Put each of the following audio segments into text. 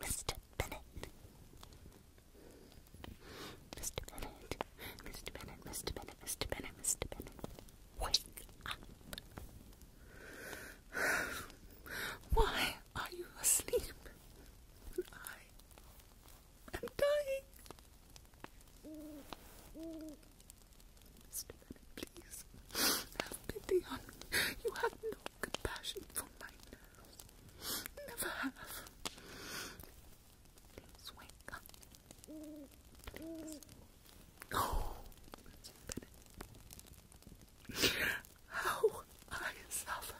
Mr. Bennett. Mr. Bennett. Mr. Bennett, Mr. Bennett, Mr. Bennett, Mr. Bennett. Wake up. Why are you asleep? I am dying. Mr. Bennett, please have pity on me. You have no compassion for my nerves. Never have. Please wake How I suffer.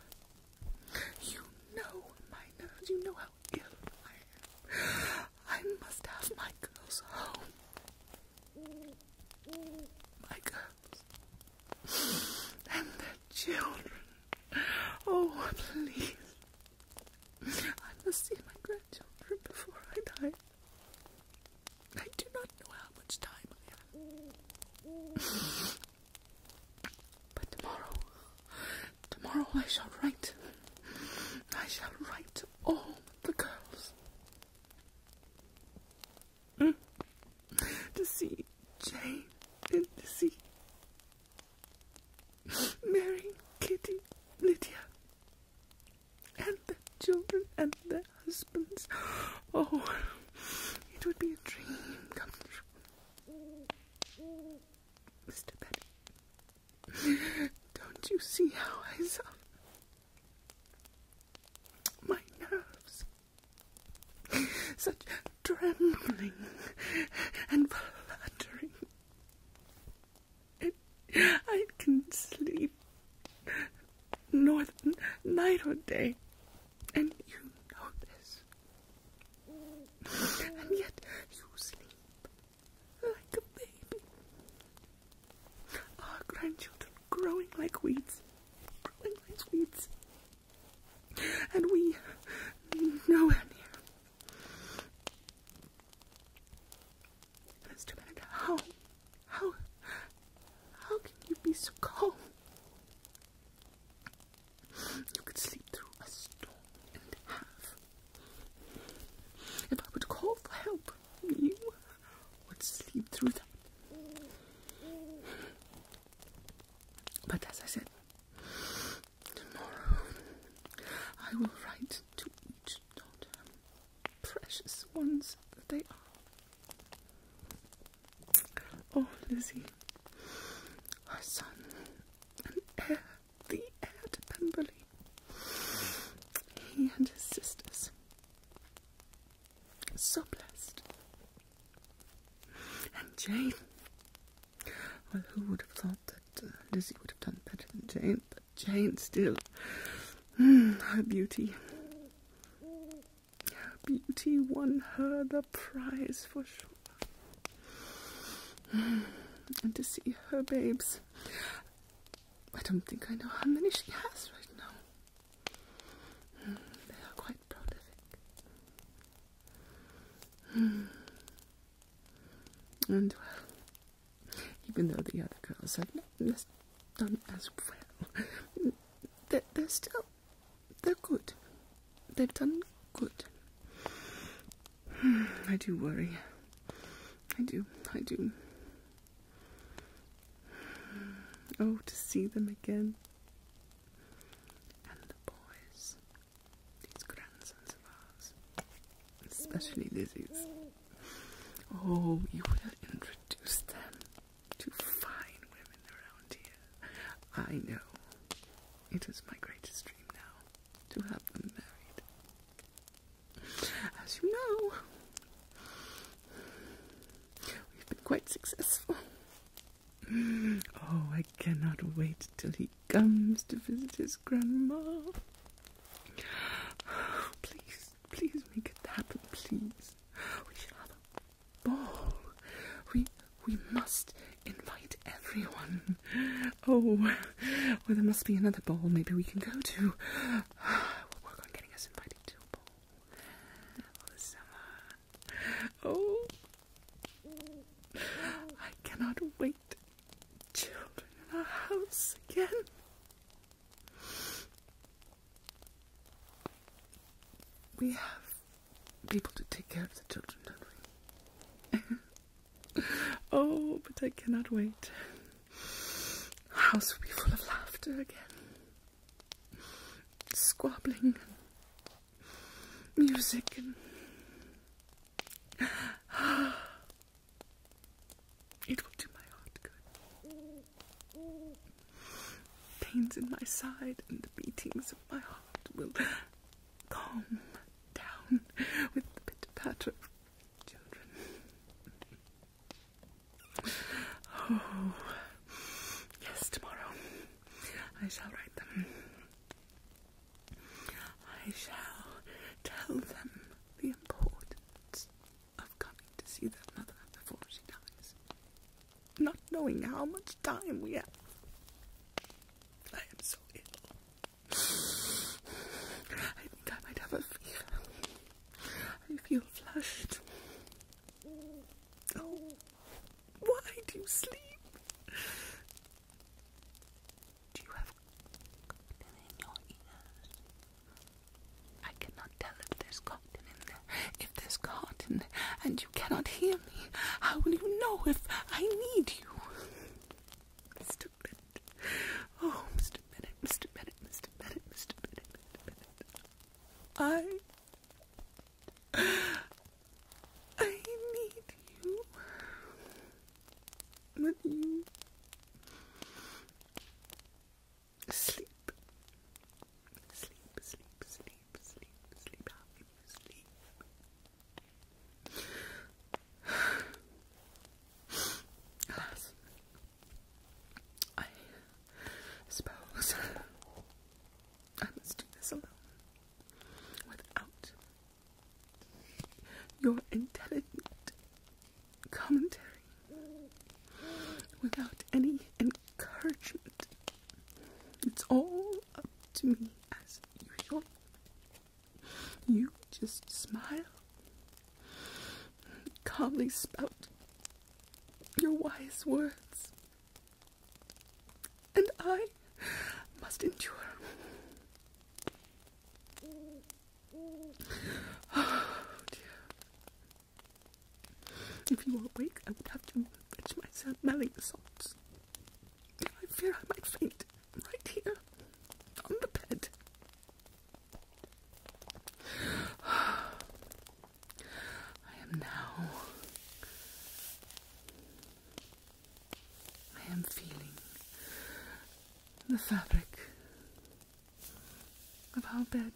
You know my nerves. You know how ill I am. I must have my girls home. My girls and their children. Oh, please. I must see my grandchildren before I die. I do not know how much time I have. But tomorrow, tomorrow I shall write. I shall write to all the girls mm. to see Jane and to see Mary, Kitty, Lydia, and the children and their husbands. Oh, it would be a dream come true. Mr. Don't you see how I suffer? Uh, my nerves, such trembling and fluttering. I can not sleep nor night or day, and you know this. And yet you sleep like a baby. Our grandchildren growing like weeds, growing like weeds. And we nowhere near. Mr. Bennett, how, how, how can you be so calm? You could sleep through a storm and have if I would call for help, you would sleep through that. But as I said, tomorrow I will write to each daughter, precious ones that they are. Oh, Lizzie, her son, an heir the heir to Pemberley. He and his sisters. So blessed. And Jane. Well, who would have thought that uh, Lizzie would have done better than Jane? But Jane still. Hmm, her beauty. Her beauty won her the prize for sure. Hmm, and to see her babes I don't think I know how many she has right now. Hmm, they are quite prolific. Hmm. And well, even though the other girls have not done as well, they're still they're good. They've done good. I do worry. I do, I do. Oh, to see them again. And the boys, these grandsons of ours, especially Lizzie's. Oh, you will introduce them to fine women around here. I know. It is my greatest dream now to have them married. As you know, we've been quite successful. Oh, I cannot wait till he comes to visit his grandma. Please, please make it happen, please. We shall have a ball. We we must invite everyone. Oh, well, there must be another ball maybe we can go to. I will work on getting us invited to a ball Oh, the summer. Oh, I cannot wait. Children in our house again. We have people to take care of the children, don't we? Oh, but I cannot wait. The house will be full of laughter again. Squabbling, music, and it will do my heart good. Pains in my side and the beatings of my heart will calm down with the pitter patter of children. Oh, yes, tomorrow I shall write them. I shall tell them the importance of coming to see their mother before she dies, not knowing how much time we have. I am so ill. I think I might have a fever. I feel flushed. Oh, why do you sleep? Do you have cotton in your ears? I cannot tell if there's cotton in there. If there's cotton and you cannot hear me, how will you know if I need you? Mr. Bennett. Oh, Mr. Bennett, Mr. Bennett, Mr. Bennett, Mr. Bennett, Mr. Bennett. I. I need you. When you sleep, sleep, sleep, sleep, sleep, sleep, how can you sleep? Alas, I suppose I must do this alone without your intelligent commentary, without any encouragement. It's all up to me as usual. You just smile, and calmly spout your wise words, and I must endure. Oh dear. If you were awake, I would have to fetch my smelling salts. I fear I might faint right here on the bed. I am now. I am feeling the fabric of our bed.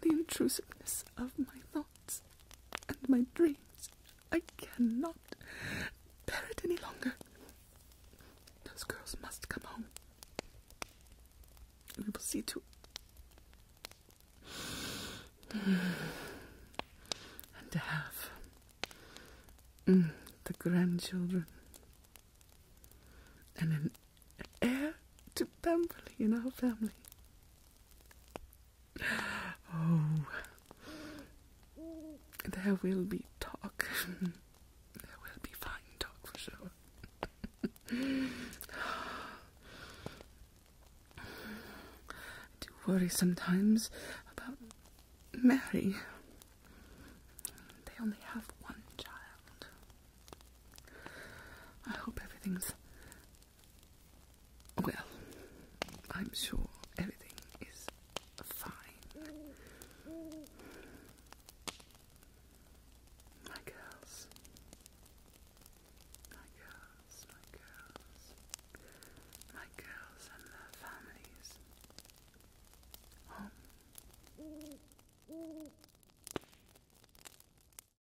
The intrusiveness of my and my dreams. I cannot bear it any longer. Those girls must come home. We will see to it, and to have mm, the grandchildren and an heir to Pemberley in our family. Oh, there will be talk. there will be fine talk for sure. I do worry sometimes about Mary. They only have one child. I hope everything's well, I'm sure everything is fine. My girls. My girls, my girls. My girls and their families. Home.